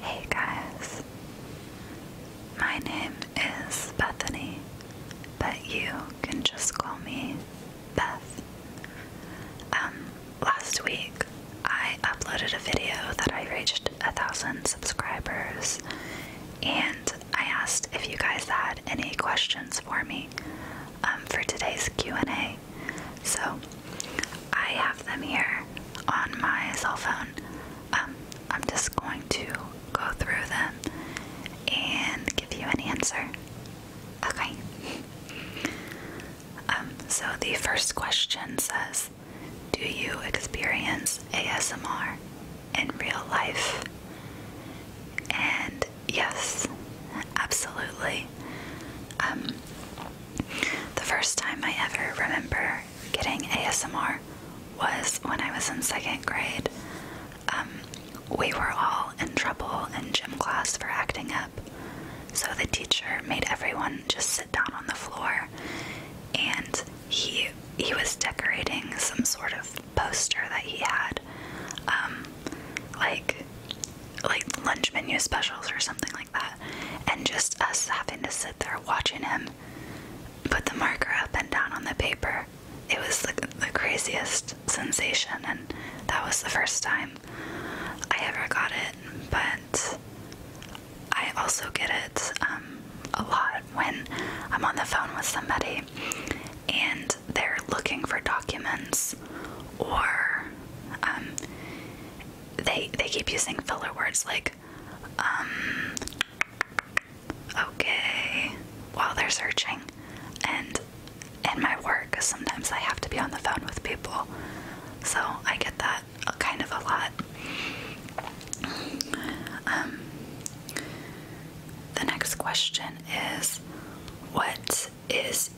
Hey guys, my name is Bethany, but you can just call me Beth. Um, last week I uploaded a video that I reached a thousand subscribers, and I asked if you guys had any questions for me um, for today's Q&A. So I have them here on my cell phone. Um, I'm just going to go through them and give you an answer. Okay. Um, so the first question says, do you experience ASMR in real life? And yes, absolutely. Um, the first time I ever remember getting ASMR was when I was in second grade. Um, we were all in trouble in gym class for acting up, so the teacher made everyone just sit down on the floor, and he he was decorating some sort of poster that he had, um, like like lunch menu specials or something like that, and just us having to sit there watching him put the marker up and down on the paper. It was like the craziest sensation, and that was the first time I ever got it. But I also get it um, a lot when I'm on the phone with somebody and they're looking for documents or um, they they keep using filler words like um, okay while they're searching and in my work sometimes I have to be on the phone with people so I get that kind of a lot um, the next question is what is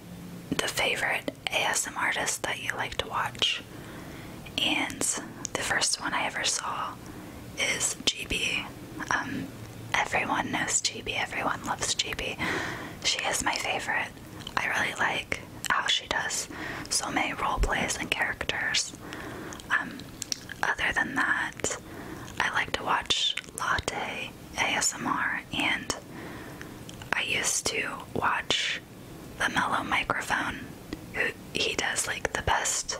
the favorite ASM artist that you like to watch? And the first one I ever saw is GB. Um, everyone knows GB, everyone loves GB. She is my favorite. I really like how she does so many role plays and characters. Um, other than that, I like to watch Latte ASMR and I used to watch the Mellow Microphone. he does like the best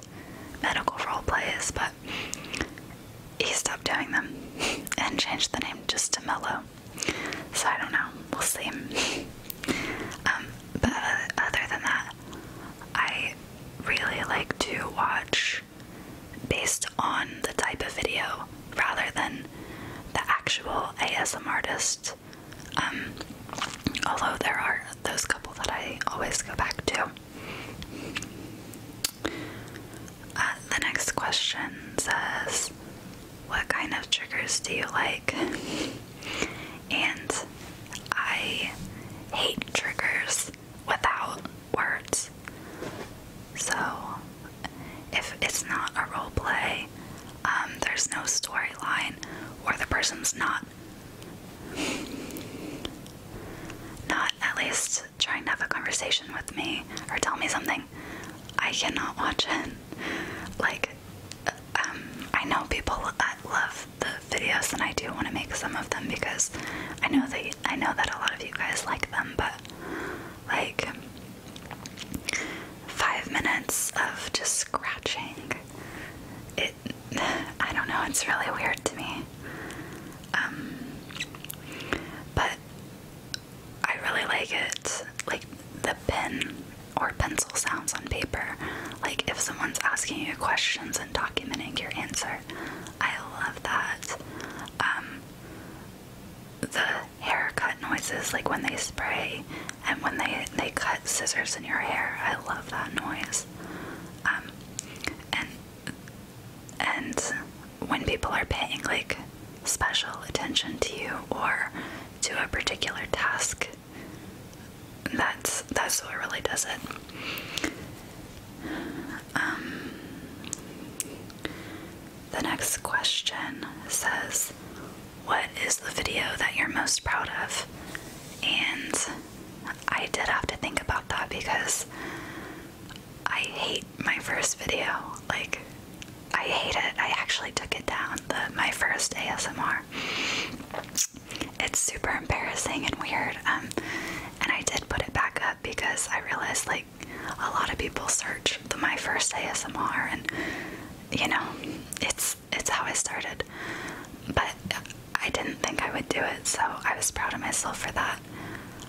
medical role plays, but he stopped doing them and changed the name just to Mellow. So I don't know. We'll see. um, but other than that, I really like to watch based on the type of video rather than the actual ASM artist. Um, although there are those couple that I always go back to. Uh, the next question says, What kind of triggers do you like? And I hate triggers without words. So, if it's not a role play, um, there's no storyline, or the person's not not at least trying to have a conversation with me or tell me something, I cannot watch it. Like, um, I know people I love the videos, and I do want to make some of them because I know that I know that a lot of you guys like them, but like five minutes of just scratching. It, I don't know, it's really weird to me. Um, but I really like it. Like the pen or pencil sounds on paper. Like if someone's asking you questions and documenting your answer. I love that. Um, the haircut noises, like when they spray and when they they cut scissors in your hair. I love that noise. Um, and and when people are paying like special attention to you or to a particular task, that's that's what really does it. Um, the next question says, What is the video that you're most proud of? And I did have to think about that because I hate my first video. Like, I hate it. I actually took it down, my first ASMR. It's super embarrassing and weird. Um, and I did put it back up because I realized like a lot of people search my first ASMR and you know it's it's how I started but I didn't think I would do it so I was proud of myself for that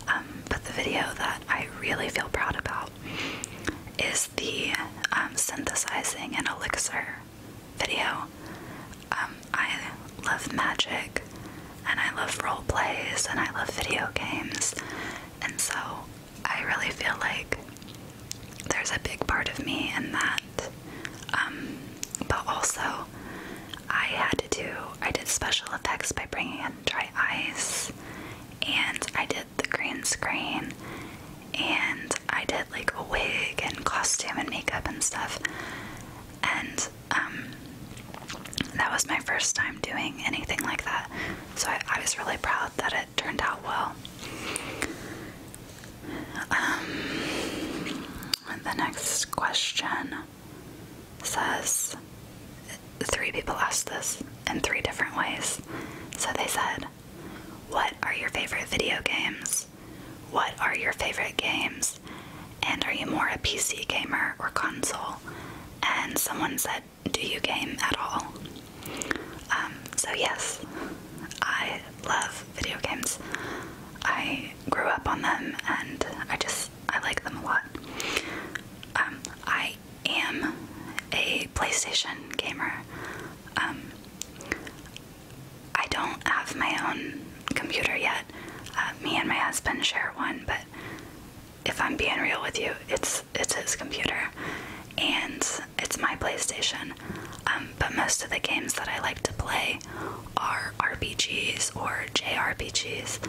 um, but the video that I really feel proud about is the um, synthesizing an elixir video um, I love magic and I love role plays and I love video games, and so I really feel like there's a big part of me in that. Um, but also, I had to do, I did special effects by bringing in dry ice, and I did the green screen, and I did like a wig and costume and makeup and stuff. And um, that was my first time doing anything like that, so I, was really proud that it turned out well. Um, the next question says three people asked this in three different ways. So they said, What are your favorite video games? What are your favorite games? and are you more a PC gamer or console? And someone said, Do you game at all? Um, so, yes, I love video games. I grew up on them and I just, I like them a lot. Um, I am a PlayStation gamer. Um, I don't have my own computer yet, uh, me and my husband share one, but if I'm being real with you, it's it's his computer and it's my PlayStation. Um, but most of the games that I like to play are RPGs or JRPGs,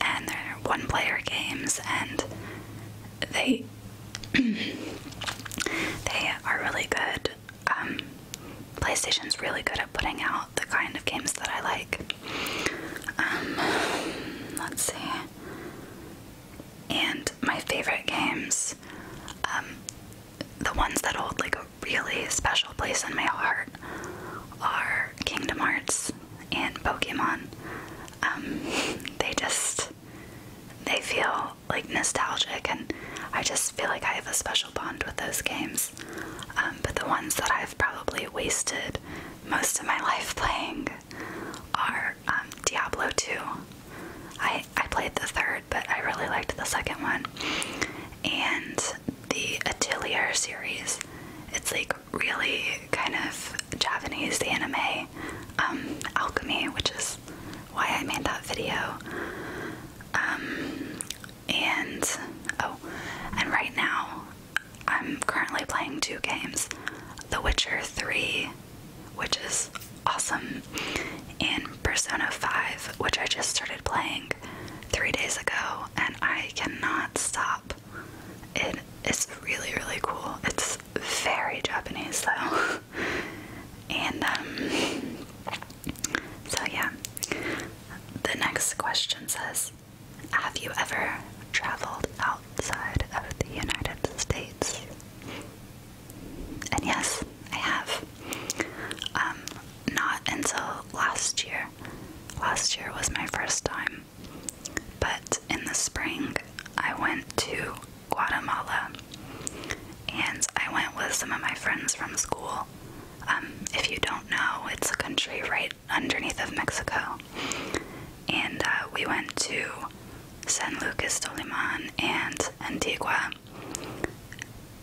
and they're one-player games, and they they are really good. Um, PlayStation's really good at putting out the kind of games that I like. Um, let's see. And my favorite games, um, the ones that hold like a really special place in my heart, are Kingdom Hearts and Pokemon. Um, they just they feel like nostalgic, and I just feel like I have a special bond with those games. Um, but the ones that I've probably wasted most of my life playing are um, Diablo 2. I, I played the third, but I really liked the second one. And the Atelier series. It's like really kind of Japanese anime um, alchemy, which is why I made that video and oh, and right now I'm currently playing two games The Witcher 3, which is awesome, and Persona 5, which I just started playing three days ago, and I cannot stop. It is really, really cool. It's very Japanese, though. and, um, so, yeah. The next question says Have you ever traveled outside of the United States? And yes, I have. Um, not until last year. Last year was my first time. But in the spring, I went to Guatemala and I went with some of my friends from school. Um, if you don't know, it's a country right underneath of Mexico. And uh, we went to San Lucas Doliman and Antigua,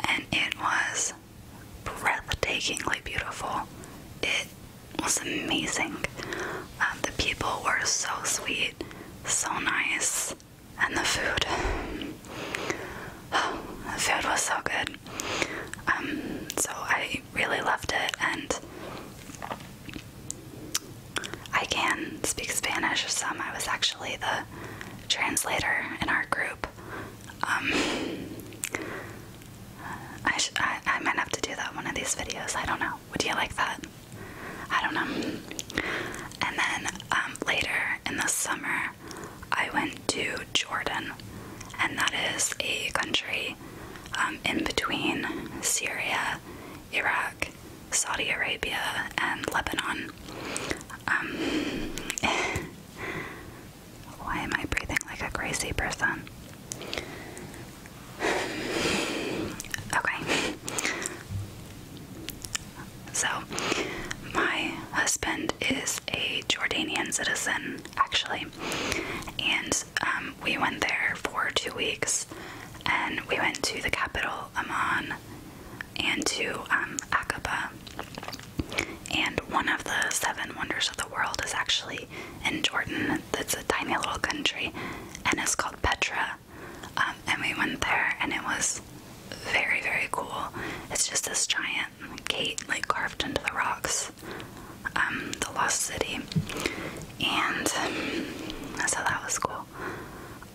and it was breathtakingly beautiful. It was amazing. Um, the people were so sweet, so nice, and the food. the food was so good. Um, so I really loved it, and I can speak Spanish some. I was actually the translator in our group. Um, I, I, might have to do that one of these videos. I don't know. Would you like that? I don't know. And then um, later in the summer, I went to Jordan, and that is a country um, in between Syria, Iraq, Saudi Arabia, and Lebanon. Um, why am I breathing like a crazy person? Okay. So, my husband is a Jordanian citizen, actually, and um, we went there for two weeks, and we went to the capital, Amman, and to um, Aqaba. And one of the seven wonders of the world is actually in Jordan. It's a tiny little country, and it's called Petra. Um, and we went there, and it was very, very cool. It's just this giant giant gate like carved into the rocks, um, the Lost City, and um, so that was cool.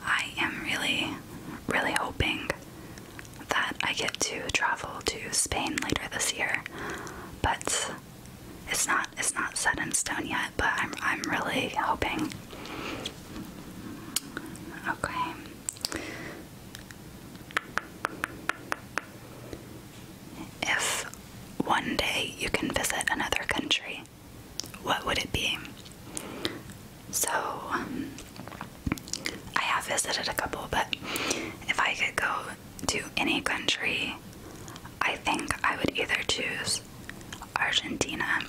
I am really, really hoping that I get to travel to Spain later this year, but it's not it's not set in stone yet. But I'm I'm really hoping. Okay. If one day you can visit another country, what would it be? So, um, I have visited a couple, but if I could go to any country, I think I would either choose Argentina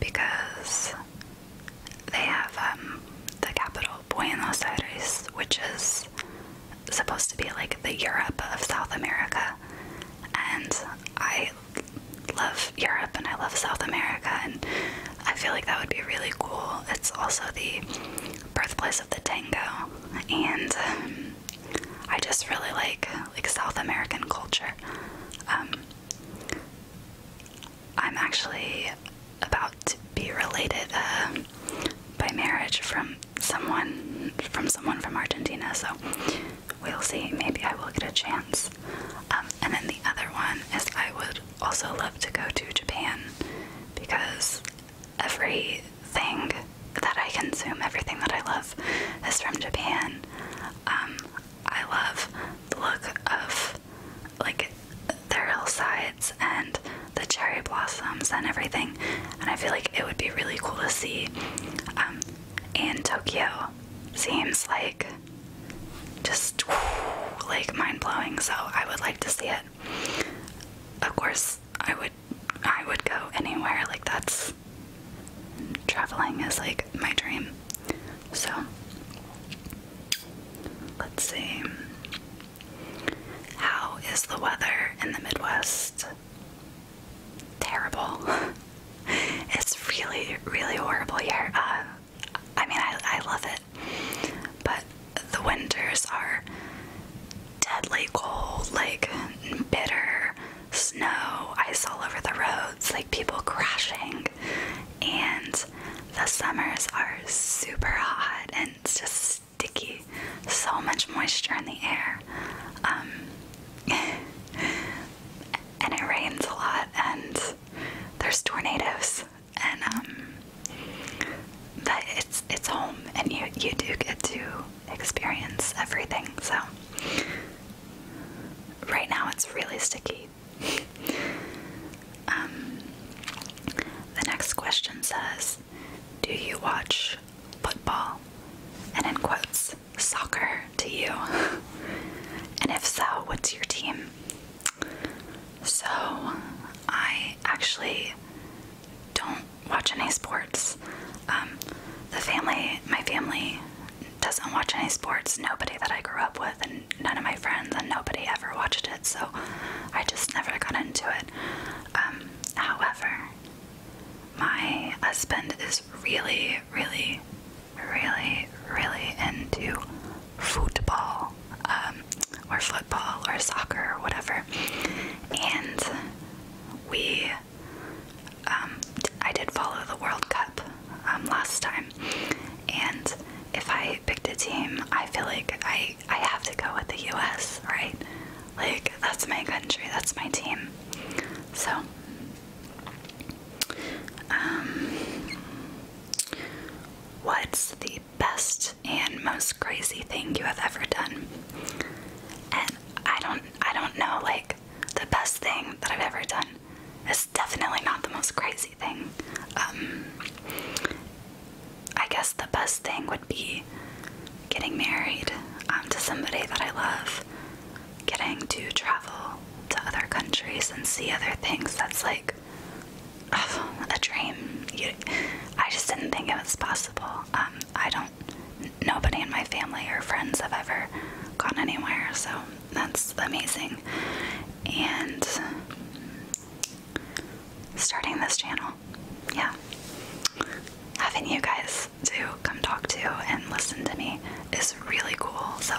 because they have um, the capital Buenos Aires, which is supposed to be like the Europe of South America. And I love Europe and I love South America, and I feel like that would be really cool. It's also the birthplace of the tango, and um, I just really like like South American culture. Um, I'm actually about to be related uh, by marriage from someone from someone from Argentina, so we'll see. Maybe I will get a chance. Um, and then the other one is I would also love to go to Japan because everything that I consume, everything that I love, is from Japan. Um, I love the look of of like their hillsides and the cherry blossoms and everything. And I feel like it would be really cool to see. Um, and Tokyo seems like just like mind blowing. So I would like to see it. Of course, I would. I would go anywhere. Like that's traveling is like my dream. So Let's see. How is the weather in the Midwest? Terrible. it's really, really horrible here. Uh, I mean, I, I love it. But the winters are deadly cold, like bitter snow, ice all over the roads, like people crashing, and the summers are super hot and it's just sticky. So much moisture in the air. Um, and it rains a lot and there's tornadoes and um it's it's home and you you do get to experience everything so right now it's really sticky Um, the next question says, "Do you watch football?" And in quotes, "Soccer" to you. and if so, what's your team? So, I actually don't watch any sports. Um, the family, my family, doesn't watch any sports, nobody that I grew up with, and none of my friends, and nobody ever watched it, so I just never got into it. Um, however, my husband is really, really, really, really into football, um, or football, or soccer, or whatever, and we. Um, I did follow the World Cup um, last time, and if I picked a team, I feel like I I have to go with the U.S. Right? Like that's my country, that's my team. So, um, what's the best and most crazy thing you have ever done? And I don't I don't know like the best thing that I've ever done. It's definitely not the most crazy thing. Um, I guess the best thing would be getting married um, to somebody that I love, getting to travel to other countries and see other things. That's like a dream. I just didn't think it was possible. Um, I don't, nobody in my family or friends have ever gone anywhere, so that's amazing. And starting this channel. Yeah. Having you guys to come talk to and listen to me is really cool. So,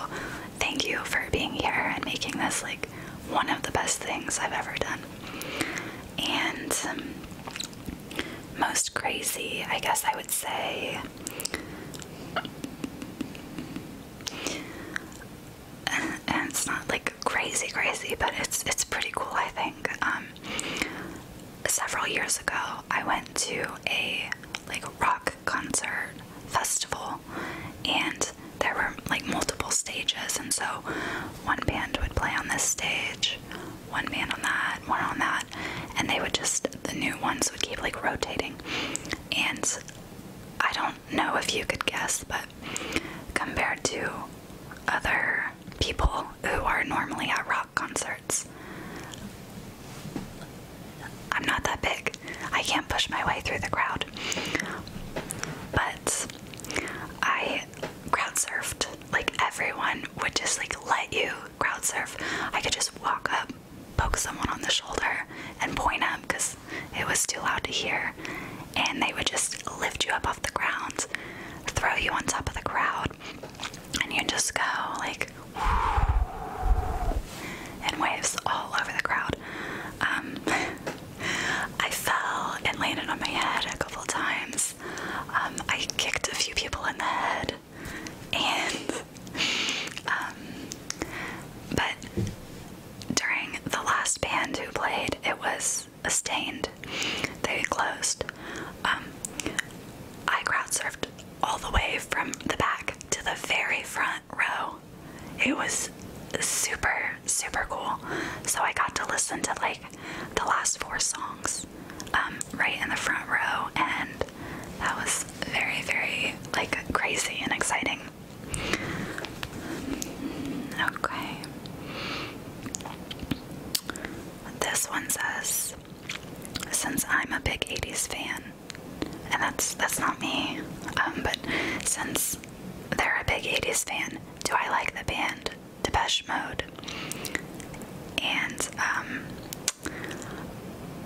thank you for being here and making this like one of the best things I've ever done. And um, most crazy, I guess I would say and, it's not like crazy, crazy, but it's it's pretty cool, I think. Um, several years ago, I went to a like rock concert festival, and there were like multiple stages, and so one band would play on this stage, one band on that, one on that, and they would just the new ones would keep like rotating. And I don't know if you could guess, but compared to other people who are normally at rock concerts, I'm not that big. I can't push my way through the crowd. But I crowd surfed. Like everyone would just like let you crowd surf. I could just walk up poke someone on the shoulder and point up because it was too loud to hear. And they would just lift you up off the ground, throw you on top of the crowd, and you just go like and waves all over the crowd. Um, I fell and landed on my head a couple times. Um, I kicked a few people in the head and um, but during the last band who played, it was a stained. They closed. Um, I crowd surfed all the way from the back to the very front row. It was super super cool. So I got to listen to like the last four songs um, right in the front row, and that was very, very like crazy and exciting. Okay. This one says, since I'm a big 80s fan, and that's that's not me, um, but since they're a big 80s fan, do I like the band Depeche Mode? And um,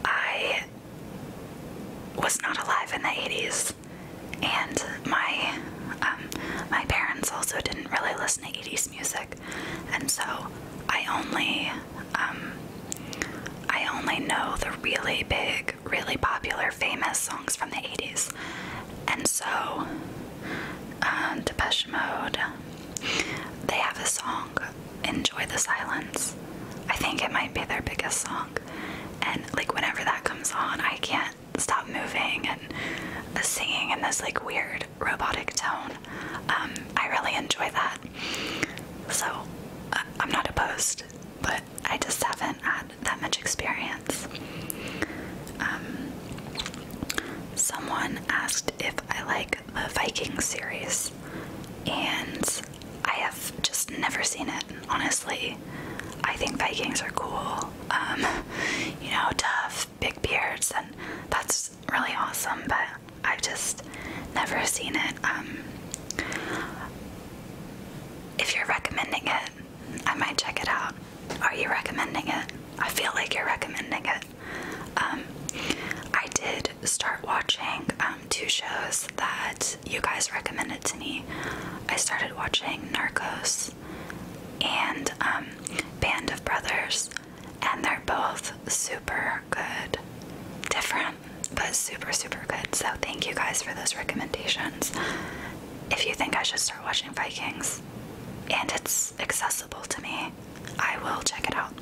I was not alive in the 80s, and my um, my parents also didn't really listen to 80s music, and so I only um, I only know the really big, really popular, famous songs from the 80s, and so uh, Depeche Mode. They have a song enjoy the silence. I think it might be their biggest song. And like whenever that comes on, I can't stop moving and singing in this like weird robotic tone. Um, I really enjoy that. So uh, I'm not opposed, but I just haven't had that much experience. Um, someone asked if I like a Viking series, and I have just never seen it, honestly. I think Vikings are cool, um, you know, tough, big beards, and that's really awesome, but I've just never seen it. Um, if you're recommending it, I might check it out. Are you recommending it? I feel like you're recommending it. Um, I did start watching um, two shows that you guys recommended to me. I started watching Narcos and um, Band of Brothers, and they're both super good. Different, but super, super good. So, thank you guys for those recommendations. If you think I should start watching Vikings, and it's accessible to me, I will check it out.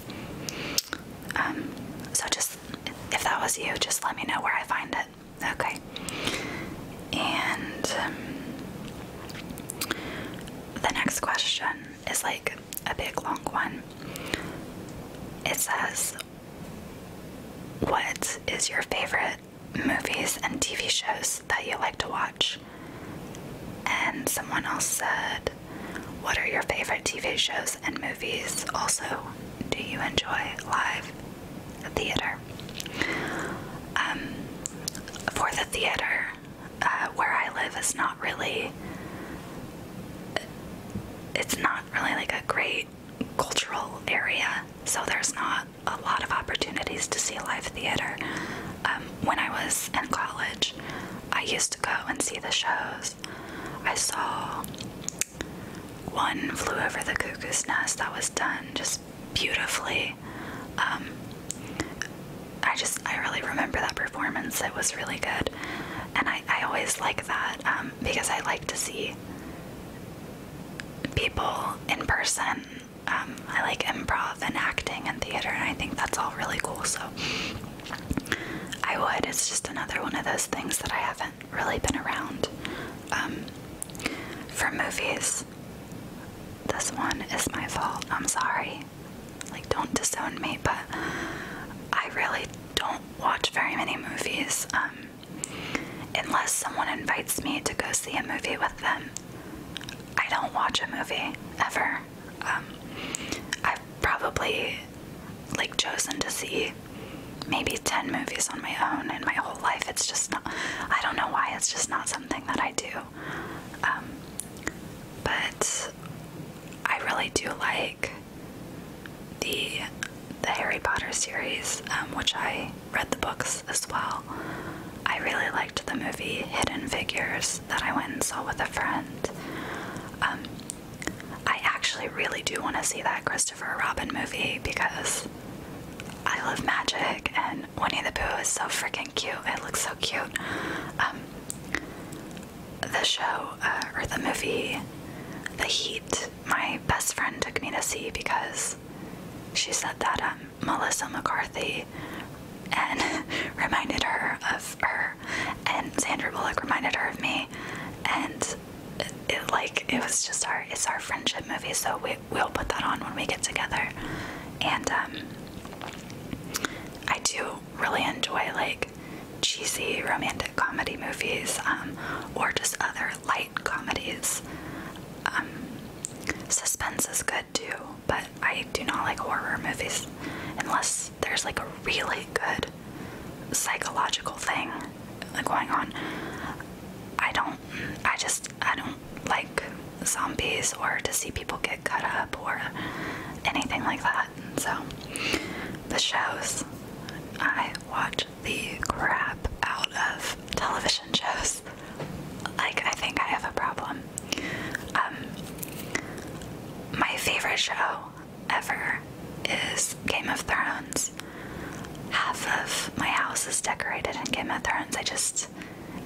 Um, so just if that was you, just let me know where I find it, okay? And um, the next question is like a big long one. It says, What is your favorite movies and TV shows that you like to watch? And someone else said, what are your favorite TV shows and movies? Also, do you enjoy live theater? Um, for the theater, uh, where I live is not really, it's not really like a great cultural area, so there's not a lot of opportunities to see live theater. Um, when I was in college, I used to go and see the shows. I saw one flew over the cuckoo's nest that was done just beautifully. Um, I just, I really remember that performance. It was really good. And I, I always like that um, because I like to see people in person. Um, I like improv and acting and theater, and I think that's all really cool. So I would. It's just another one of those things that I haven't really been around. Um, for movies, this one is my fault. I'm sorry. Like, don't disown me, but I really don't watch very many movies um, unless someone invites me to go see a movie with them. I don't watch a movie ever. Um, I've probably like chosen to see maybe 10 movies on my own in my whole life. It's just not, I don't know why, it's just not something that I do. Um, but I really do like the the Harry Potter series, um, which I read the books as well. I really like liked the movie Hidden Figures that I went and saw with a friend. Um, I actually really do want to see that Christopher Robin movie because I love magic and Winnie the Pooh is so freaking cute. It looks so cute. Um, the show uh, or the movie The Heat, my best friend took me to see because she said that um, Melissa McCarthy and reminded her of her, and Sandra Bullock reminded her of me, and it, like it was just our it's our friendship movie, so we we'll put that on when we get together, and um, I do really enjoy like cheesy romantic comedy movies, um, or just other light comedies. Um, suspense is good too but I do not like horror movies unless there's like a really good psychological thing uh, going on. I don't, I just, I don't like zombies or to see people get cut up or anything like that. So, the shows, I watch the crap out of television shows. Like, I think I have a problem. Um, my favorite show ever is Game of Thrones. Half of my house is decorated in Game of Thrones. I just,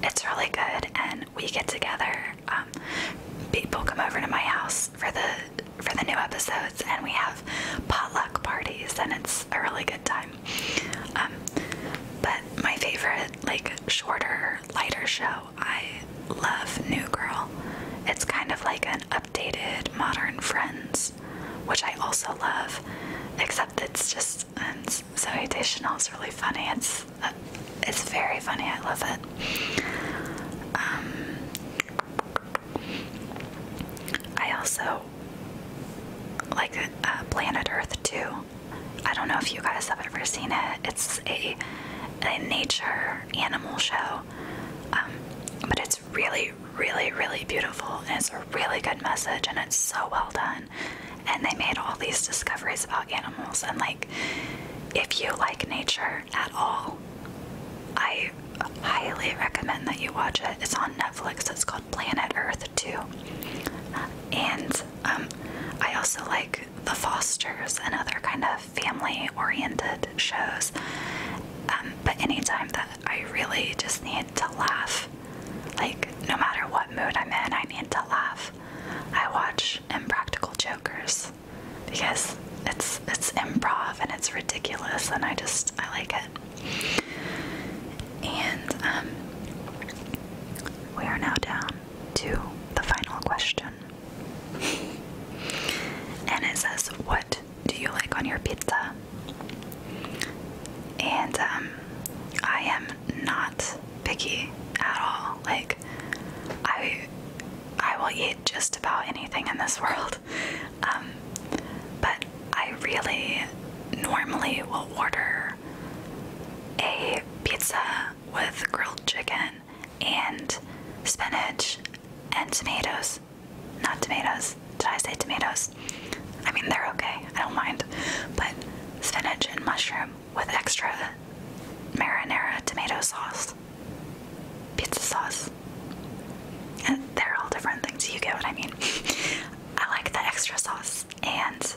it's really good, and we get together. Um, people come over to my house for the for the new episodes, and we have potluck parties, and it's a really good time. Um, but my favorite, like shorter, lighter show I love New Girl. It's kind of like an updated modern Friends, which I also love, except it's just so Zoe It's really funny. It's uh, it's very funny. I love it. Um, I also like uh, Planet Earth too. I don't know if you guys have ever seen it. It's a, nature animal show, um, but it's really, really, really beautiful, and it's a really good message, and it's so well done. And they made all these discoveries about animals, and like, if you like nature at all, I highly recommend that you watch it. It's on Netflix. It's called Planet Earth 2. And um, I also like the Fosters and other kind of family oriented shows. Um, but anytime that I really just need to laugh, like no matter what mood I'm in, I need to laugh. I watch Impractical Jokers because it's it's improv and it's ridiculous and I just I like it. And um, we are now down to the final question. and it says, What do you like on your pizza? And um, I am not picky at all. Like, I, I will eat just about anything in this world. Um, but I really normally will order a pizza with grilled chicken and spinach and tomatoes. Not tomatoes. Did I say tomatoes? I mean, they're okay. I don't mind. But spinach and mushroom with extra marinara tomato sauce. Pizza sauce. And they're all different things. You get what I mean. I like that extra sauce and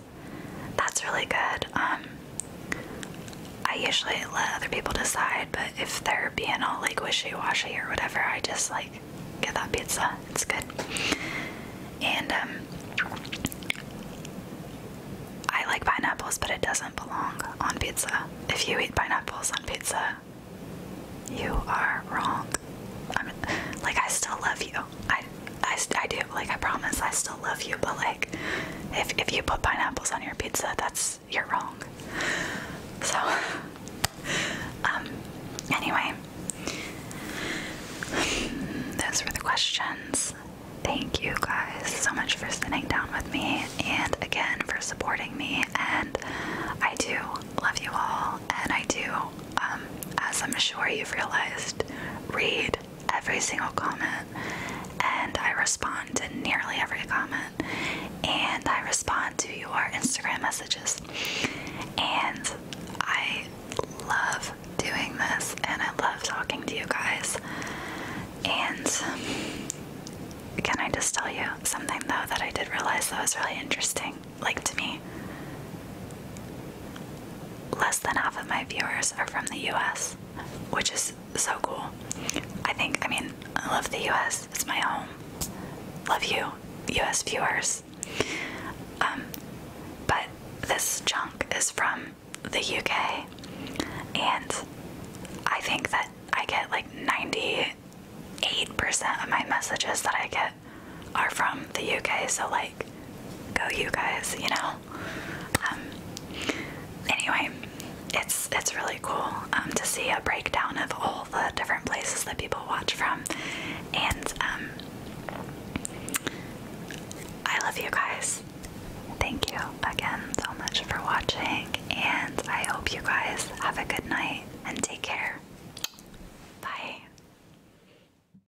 that's really good. Um, I usually let other people decide, but if they're being all like wishy-washy or whatever, I just like get that pizza. It's good. And um, I like pineapples, but it doesn't belong on pizza. If you eat pineapples on pizza, you are wrong. I'm, like I still love you. I I, I do like I promise I still love you, but like if if you put pineapples on your pizza, that's you're wrong. So um anyway, those were the questions. Thank you guys so much for sitting down with me and again for supporting me and I do love you all and I do um as I'm sure you've realized read every single comment and I respond to nearly every comment and I respond to your Instagram messages and I love doing this and I love talking to you guys and can I just tell you something though that I did realize that was really interesting like to me Less than half of my viewers are from the US, which is so cool. I think, I mean, I love the US, it's my home. Love you, US viewers. Um, but this chunk is from the UK, and I think that I get like 98% of my messages that I get are from the UK, so like go you guys, you know. Um, anyway, it's it's really cool um, to see a breakdown of all the different places that people watch from, and um, I love you guys. Thank you again so much for watching, and I hope you guys have a good night and take care. Bye.